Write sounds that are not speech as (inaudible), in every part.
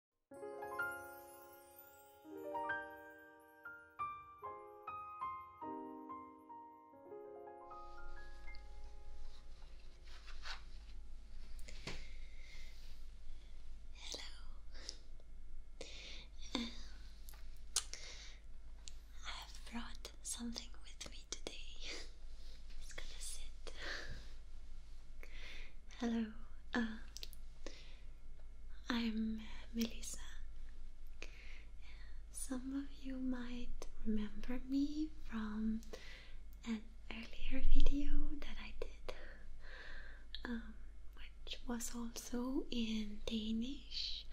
Hello. Um, I have brought something with me today. (laughs) it's gonna sit Hello, uh, I'm Melissa. Some of you might remember me from an earlier video that I did, um, which was also in Danish.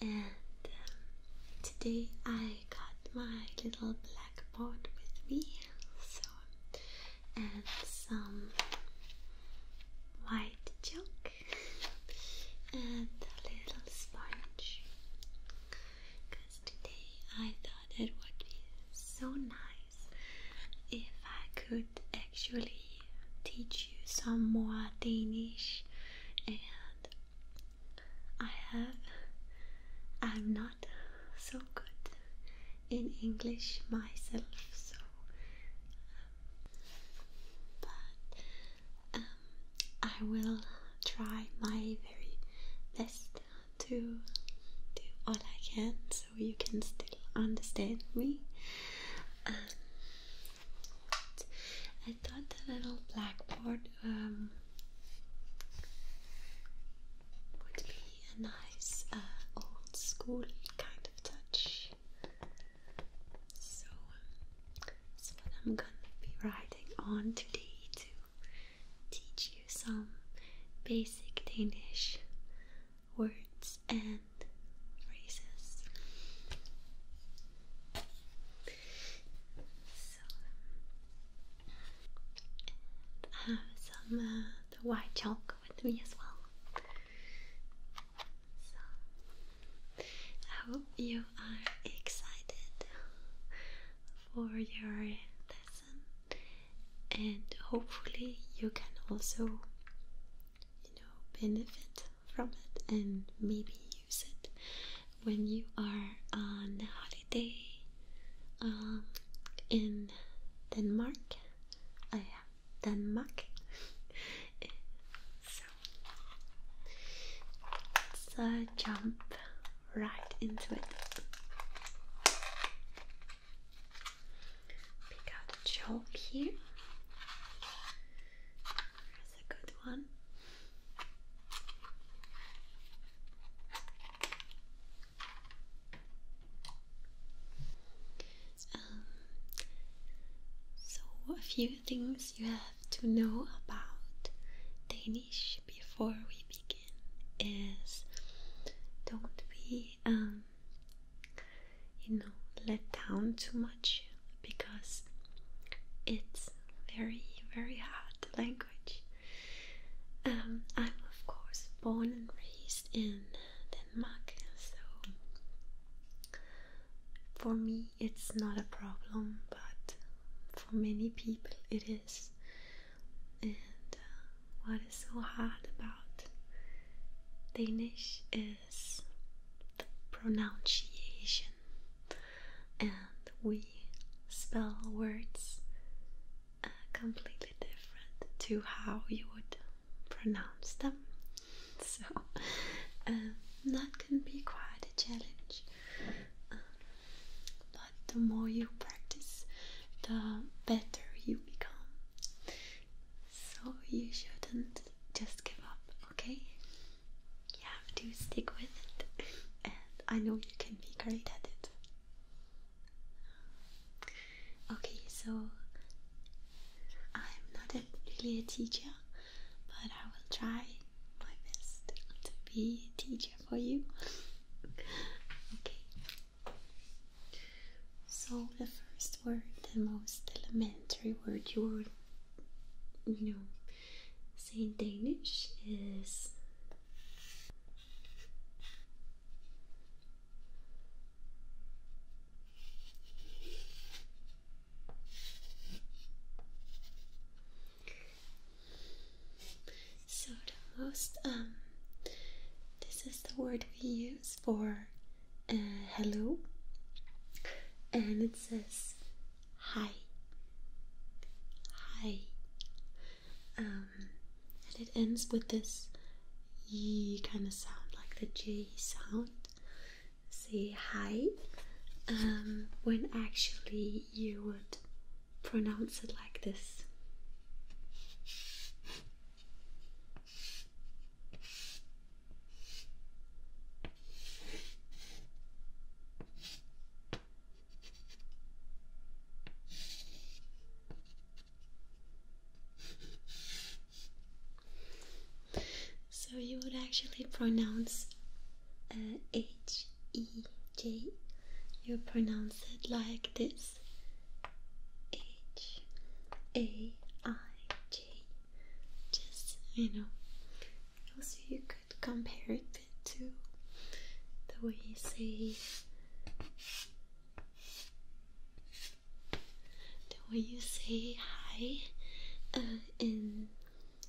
And um, today I got my little blackboard with me, so and some white chalk and a little sponge because today I thought it would be so nice if I could actually teach you some more Danish and I have I'm not so good in English myself, so. Um, but um, I will try my very best to do all I can so you can still understand me. Um, I thought the little blackboard would be a nice uh, old school kind of touch. So um, what I'm gonna be writing on today to teach you some basic Danish words and phrases. So, um, have some. Uh, the white chalk with me as well. So, I hope you are excited for your lesson, and hopefully, you can also, you know, benefit from it and maybe use it when you are on holiday day um, in Denmark. I uh, yeah, Denmark. (laughs) so let's jump right into it. Pick out a joke here. That's a good one. Um, so, a few things you have to know about Danish before we begin is don't be, um, you know, let down too much because it's very, very hard language. Um, I'm of course born and raised in Denmark, so for me it's not a problem, but for many people it is. And uh, what is so hard about Danish is the pronunciation, and we spell words completely different to how you would pronounce them. (laughs) So um, that can be quite a challenge. Um, but the more you practice, the better you become. So you shouldn't just give up, okay? You have to stick with it, (laughs) and I know you can be great at it. Okay, so I'm not really a teacher, but I will try my best to be a teacher for you. okay, so the first word, the most elementary word you were, you know, say in Danish is so the most um this is the word we use for uh, hello and it says hi hi um, and it ends with this ye kind of sound, like the J sound. Say hi, um, when actually you would pronounce it like this. So you would actually pronounce uh, H E J. You pronounce it like this: H A I J. Just you know. Also, you could compare it the way you say, the way you say hi uh, in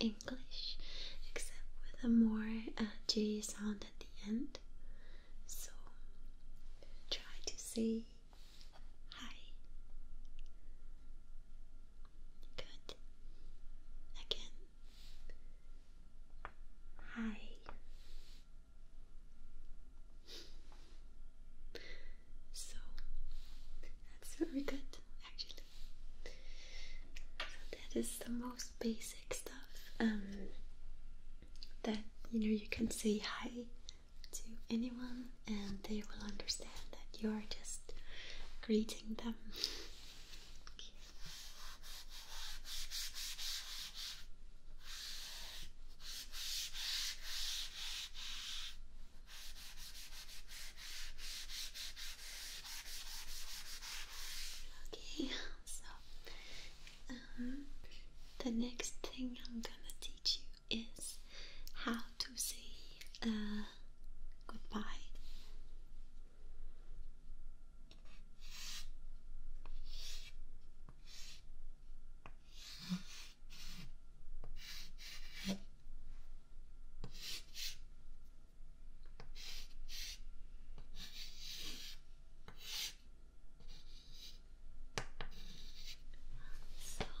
English, except with a more uh, J sound at the end. So try to say hi. Good. Again. Hi. So that's very good actually. that is the most basic stuff um, that you know you can say hi to anyone and they will understand that you are just greeting them. Okay, (laughs) so um, the next thing I'm gonna teach you is how to say uh, goodbye. So,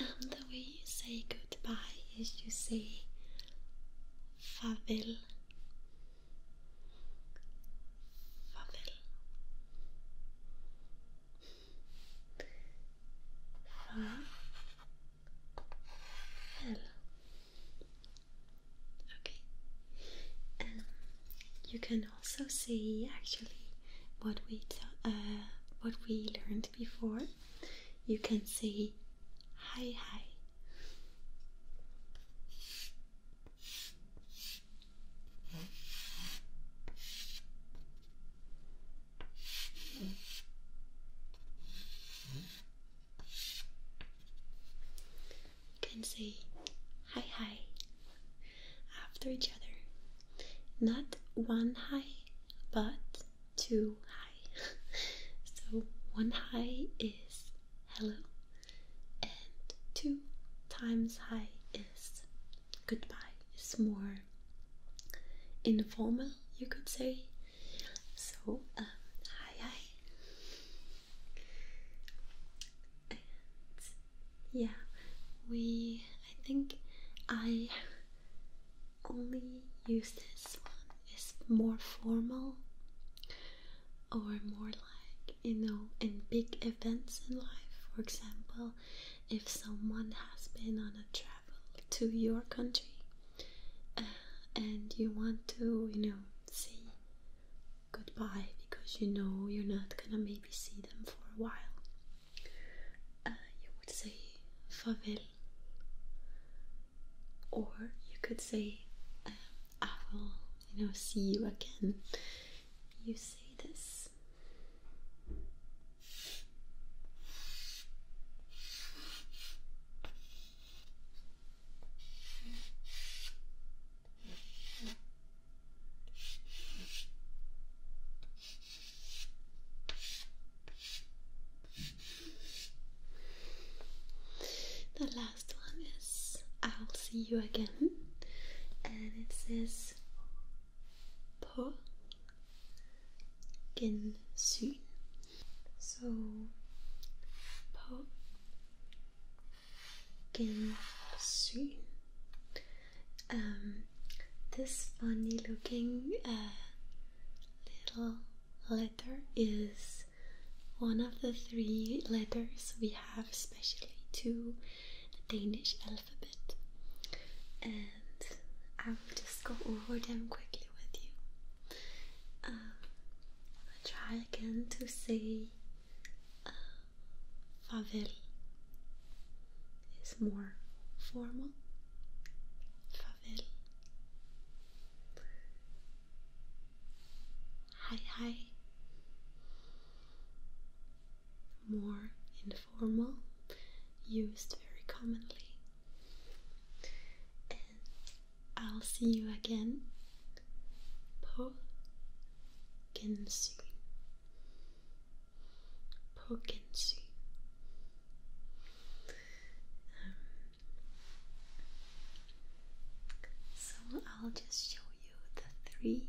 um, the way you say goodbye is you say farewell. Favel. Okay. Um, you can also see actually what we uh, what we learned before. You can say hi hi. You can see, hi, hi after each other. Not one hi, but Two high. (laughs) so one high is hello, and two times high is goodbye. It's more informal, you could say. So um, hi yeah, we. I think I only use this one. is more formal or more like, you know, in big events in life. For example, if someone has been on a travel to your country uh, and you want to, you know, say goodbye because you know you're not gonna maybe see them for a while, uh, you would say "farewell." or you could say, um, I will, you know, see you again. You say this. The last one is I'll see you again, and it says På Gensyn. So På Gensyn. Um, this funny looking uh, little letter is one of the three letters we have, especially to the Danish alphabet, and I will just go over them quickly with you. Um, try again to say uh, favel is more formal. Favel. Hi, hi. More informal, used very commonly. I'll see you again. På gensyn so I'll just show you the three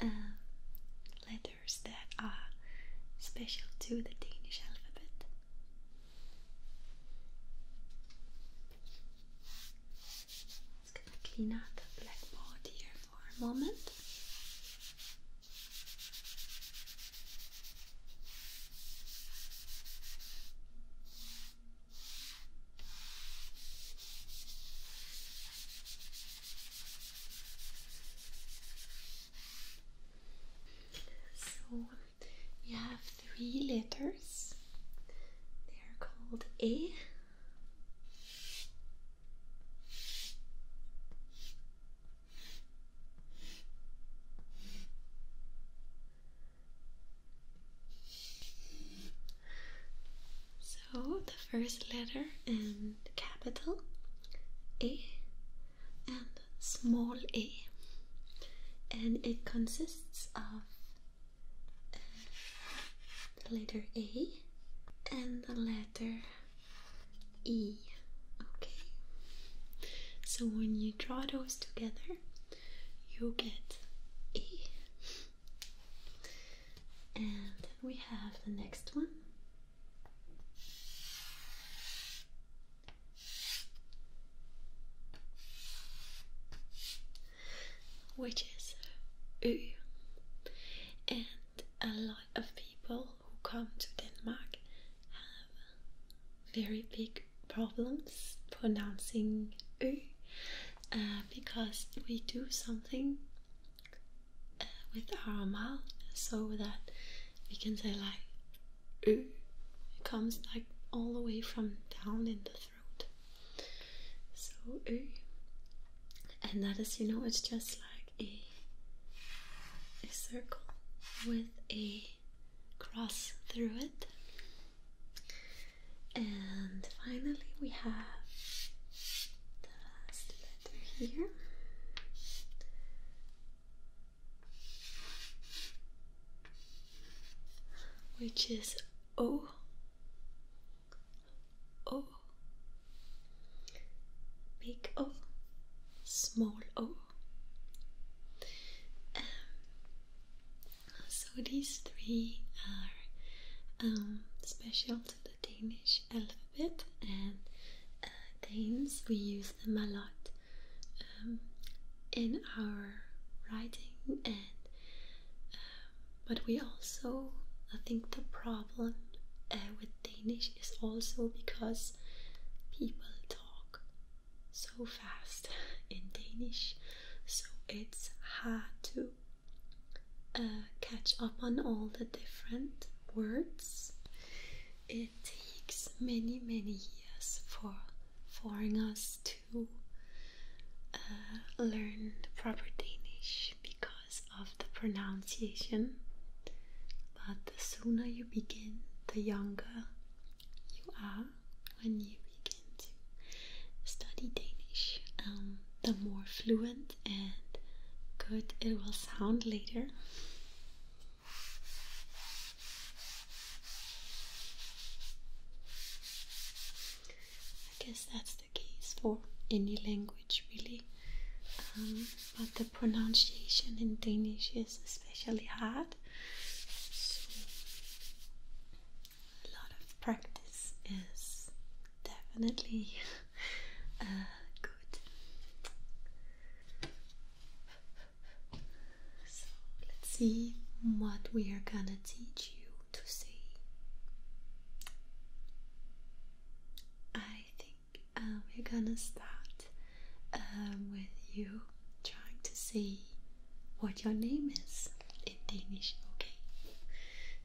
um, letters that are special to the Danish alphabet. It's going clean out the blackboard here for a moment. So we have three letters. They are called A. So the first letter in capital A and small a, and it consists of uh, the letter A and the letter E. Okay. So when you draw those together, you get E. And we have the next one. Which is U, and a lot of people who come to Denmark have very big problems pronouncing Ö uh, because we do something uh, with our mouth so that we can say like Ö. It comes like all the way from down in the throat. So Ö. And that is, you know, it's just like a circle with a cross through it. And finally, we have the last letter here. Which is O O Big O, small O. Um, so these three are um, special to the Danish alphabet, and uh, Danes we use them a lot um, in our writing, and but we also I think the problem uh, with Danish is also because people talk so fast (laughs) in Danish, so it's hard to uh, catch up on all the different words. It takes many, many years for foreigners to uh, learn proper Danish because of the pronunciation, but the sooner you begin, the younger you are when you begin to study Danish. Um, the more fluent and good it will sound later. I guess that's the case for any language language really um, but the pronunciation in Danish is especially hard so a lot of practice is definitely (laughs) uh, good so let's see what we are gonna teach you to say I think uh, we're gonna start um, with you trying to say what your name is in Danish, okay?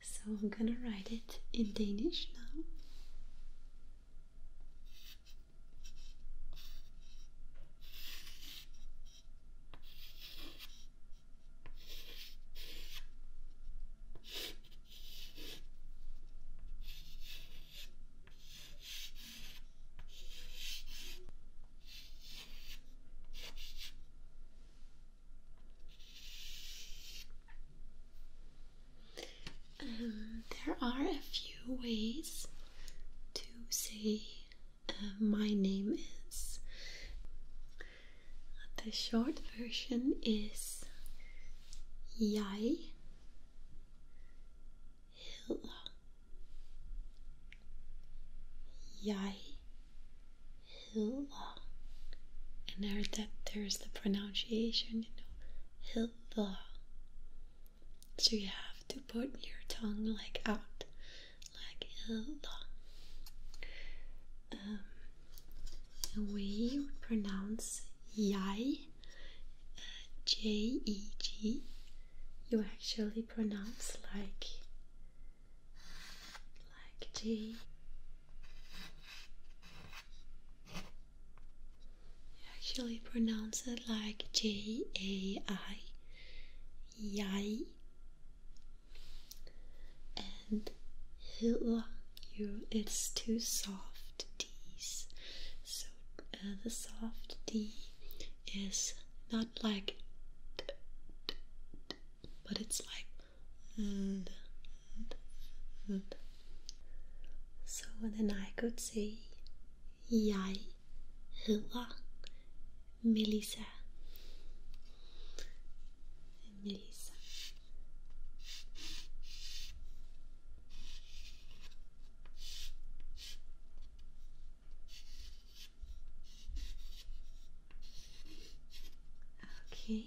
So I'm gonna write it in Danish now. Um, there are a few ways to say uh, my name is. The short version is jeg hedder. Jeg hedder. And there that there's the pronunciation, you know, hedder. So you have to put your tongue like out, like hedder um, we would pronounce yai, uh, J E G. You actually pronounce like like J. You actually pronounce it like J A I, yai, and hila you it's too soft D, So uh, the soft D is not like but it's like so then I could say Jeg hedder Melissa Melissa Okay.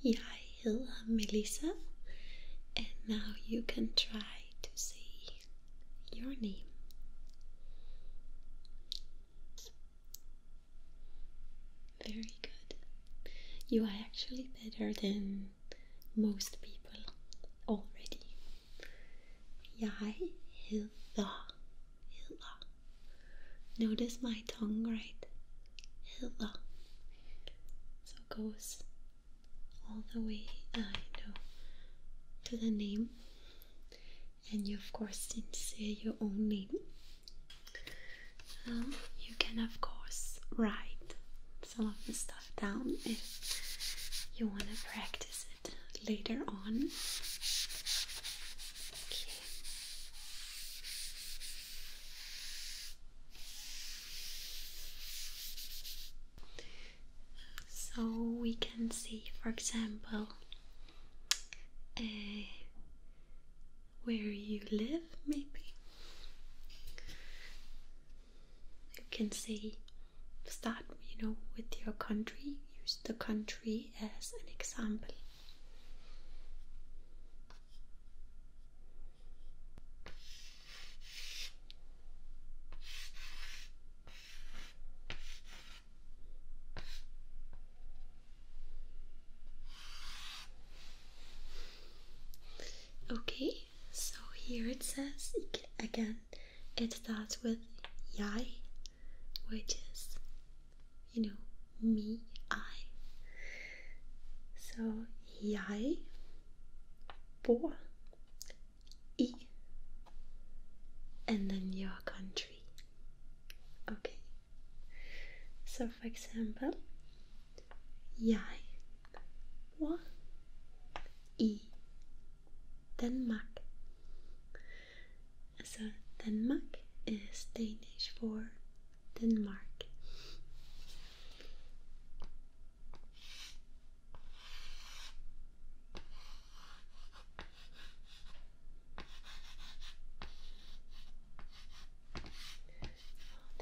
Yeah, I am Melissa, and now you can try to say your name. Very good. You are actually better than most people already. Jeg hilda. Hilda. Notice my tongue, right? Hilda. So it goes all the way, uh, you to the name. And you, of course, didn't say your own name. Um, you can, of course, write some of the stuff down if you want to practice it later on. Okay. So we can see, for example, uh, where you live, maybe. You can say, start, you know, with your country, use the country as an example. Okay, so here it says again, it starts with yai, which is, you know, me, I. So, jeg bor i, and then your country. Okay. So, for example, jeg var i Denmark. So, Denmark is Danish for Denmark.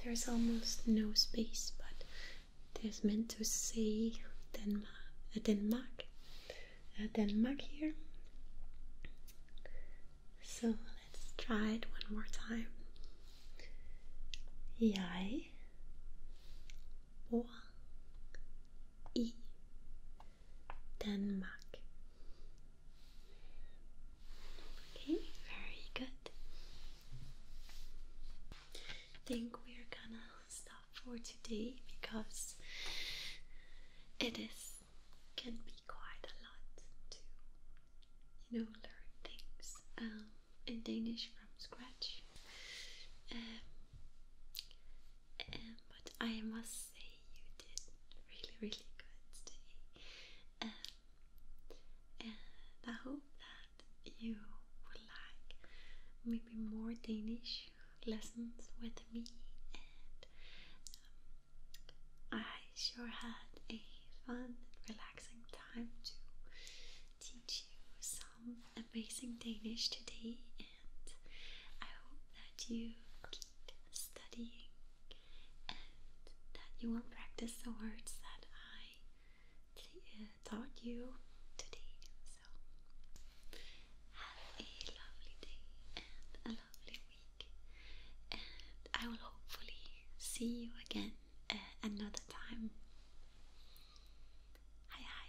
There's almost no space, but there's meant to say Denmark, uh, Denmark, uh, Denmark here. So let's try it one more time. Jeg bor i Denmark. Okay, very good. think we're gonna stop for today because it is can be quite a lot to you know learn things um, in Danish from scratch. Um, um, but I must say, you did really, really good today. Um, and I hope that you would like maybe more Danish lessons with me. And um, I sure had a fun relaxing time to teach you some amazing Danish today. I hope that you keep studying and that you will practice the words that I uh, taught you today. So, have a lovely day and a lovely week, and I will hopefully see you again uh, another time. Hi, hi.